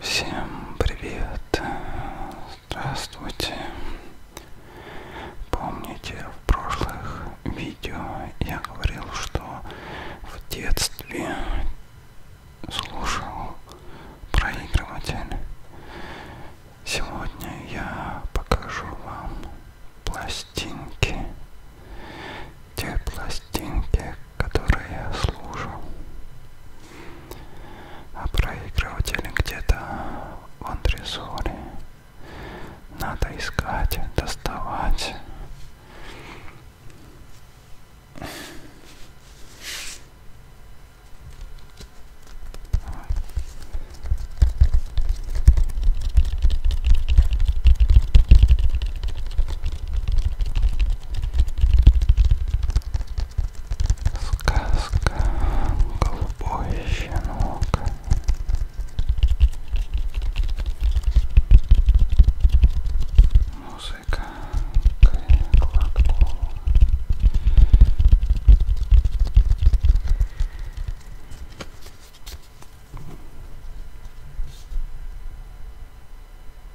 Всем привет! Здравствуйте! Помните, в прошлых видео я говорил, что в детстве слушал проигрыватель. Сегодня я покажу вам пластинки те пластинки, которые я слушал. А проигрыватель где-то в антресоле. Надо искать, доставать. Сказка «Голубой щенок». Музыка Кладкова.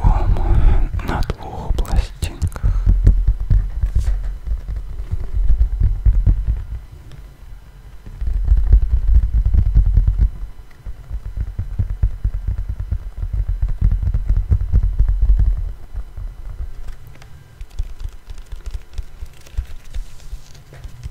Альбом на двух пластинках.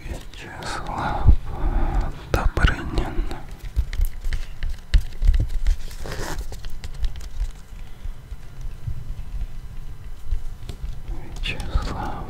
Вячеслав Добрынин. Вячеслав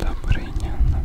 Добрынин.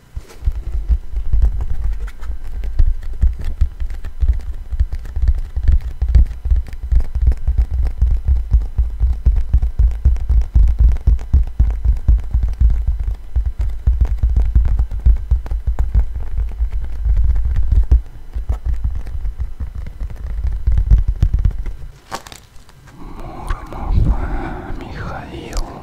Муромов Михаил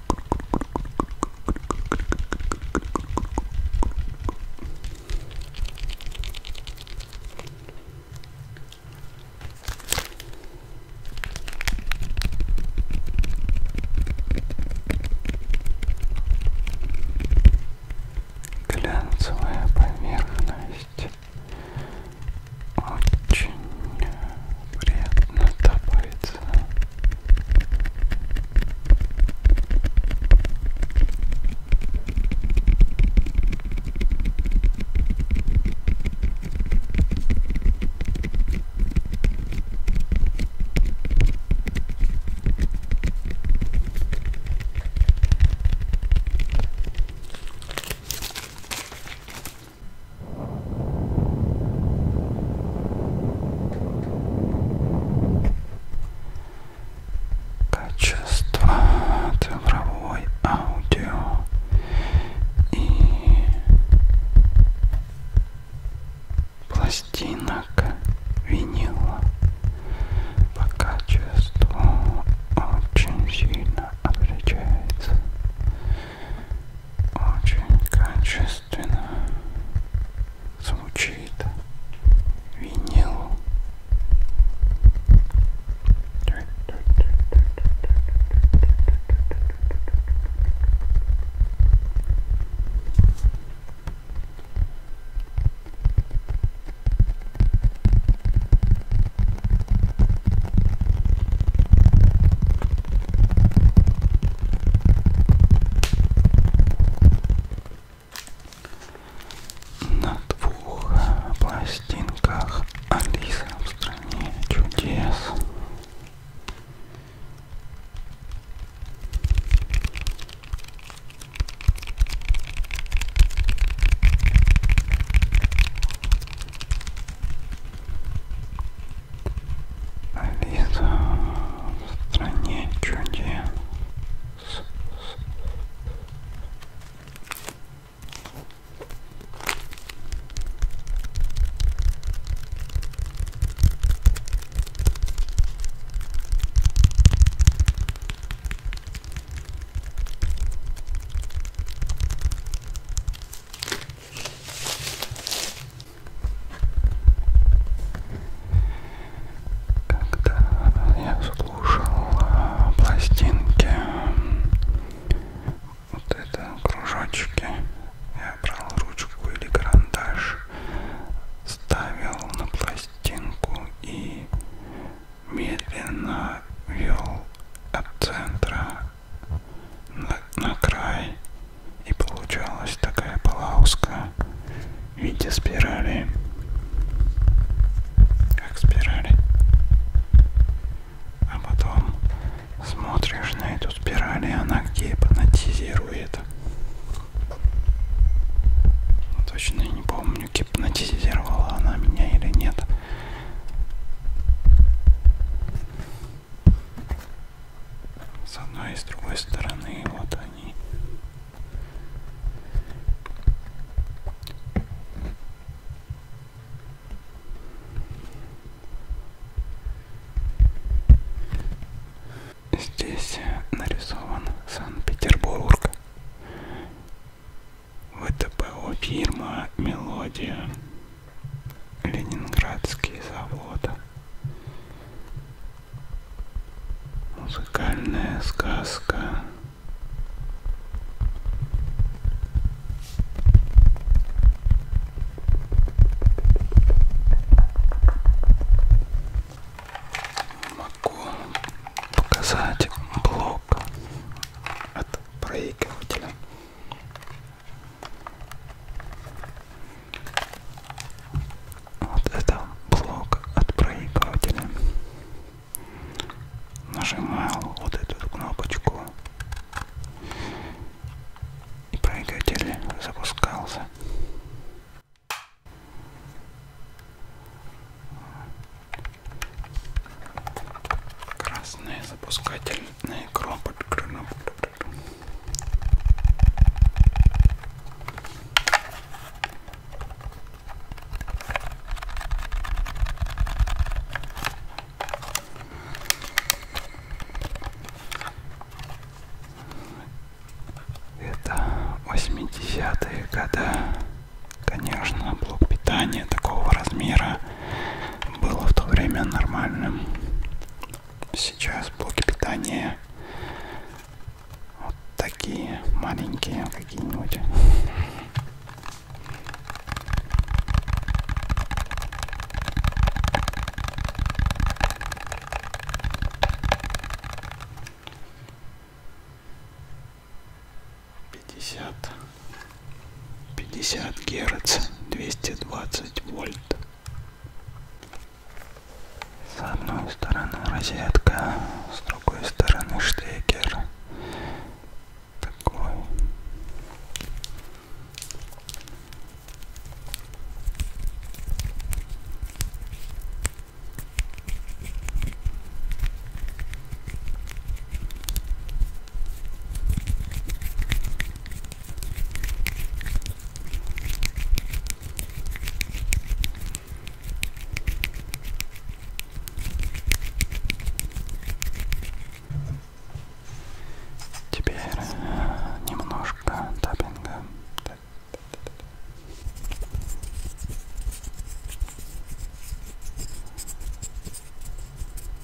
Глянцевая поверхность очень приятно добавиться. Качество цифровой аудио и пластинок винила по качеству очень сильно отличается очень качественно звучит винил. На двух пластинках Алиса в стране чудес. Алиса в стране чудес. Когда я слушал а, пластинки, вот это кружочки, я брал ручку или карандаш, ставил на пластинку и медленно вел от центра на, на край. И получалась такая полоска в виде спирали. Как спирали. А потом смотришь на эту спираль, и она гипнотизирует. Ну, точно не помню, гипнотизировала она меня или нет с одной и с другой стороны вот они здесь нарисован санкт-петербург втпо фирма мелодия Ленинградский завод. Музыкальная сказка. Могу показать блок от проигрывателя вот это блок от проигрывателя. Нажимал вот эту кнопочку и проигрыватель запускался. Красный запускатель на экран подключен. Это 80-е годы. Конечно, блок питания такого размера было в то время нормальным сейчас блоки питания вот такие маленькие какие-нибудь пятьдесят пятьдесят герц двести двадцать вольт с одной стороны розетка, с другой стороны штекер. Такой. Теперь э, немножко таппинга.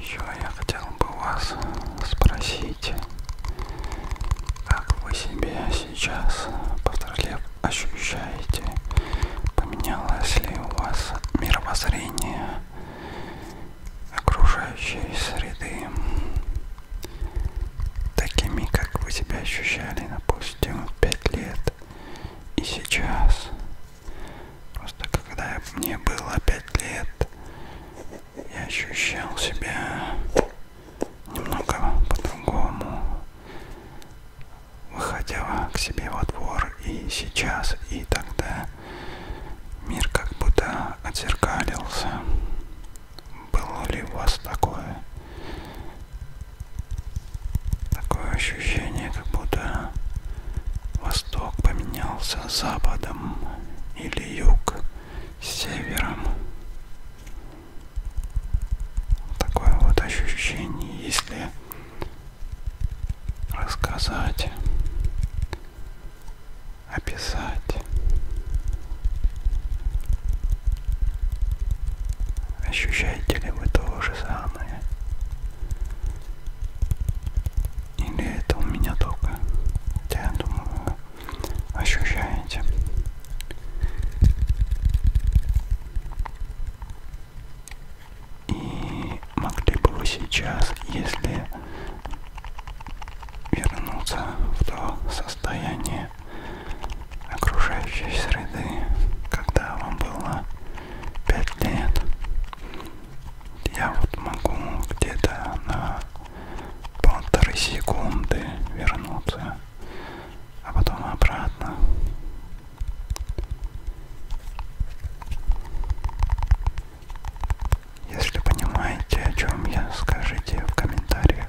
Еще я хотел бы вас спросить, как вы себя сейчас повторяю, ощущаете? Поменялось ли у вас мировоззрение окружающей среды? такими, как вы себя ощущали, допустим, в 5 лет и сейчас. Просто когда мне было 5 лет, я ощущал себя немного по-другому. Выходила к себе во двор и сейчас, и тогда мир как будто я отзеркалился. Было ли у вас такое? Такое ощущение, как будто восток поменялся западом или юг севером. Такое вот ощущение, если рассказать описать ощущаете ли вы то же самое или это у меня только я думаю ощущаете и могли бы вы сейчас если вернуться в то состояние окружающей среды, когда вам было 5 лет. Я вот могу где-то на полторы секунды вернуться, а потом обратно. Если понимаете, о чем я, скажите в комментариях.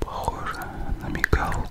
Похоже на мигалку.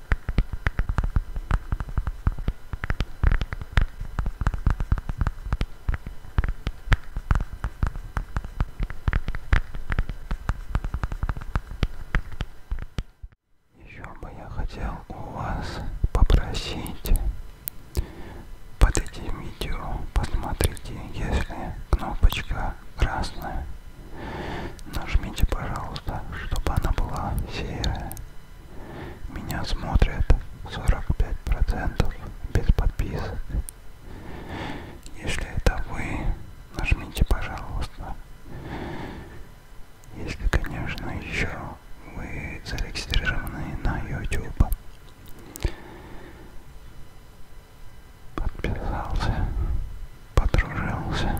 Еще бы я хотел у вас попросить под этим видео посмотрите, если кнопочка красная, нажмите, пожалуйста, чтобы она была серая. Меня смотрят 45% без подписок. Если это вы, нажмите, пожалуйста. Если, конечно, еще вы зарегистрированы на YouTube. Подписался, подружился,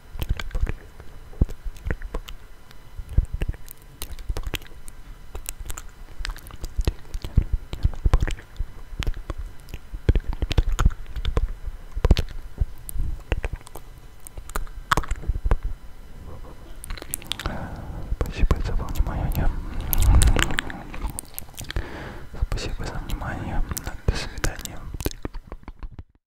Спасибо за внимание. Спасибо за внимание. До свидания.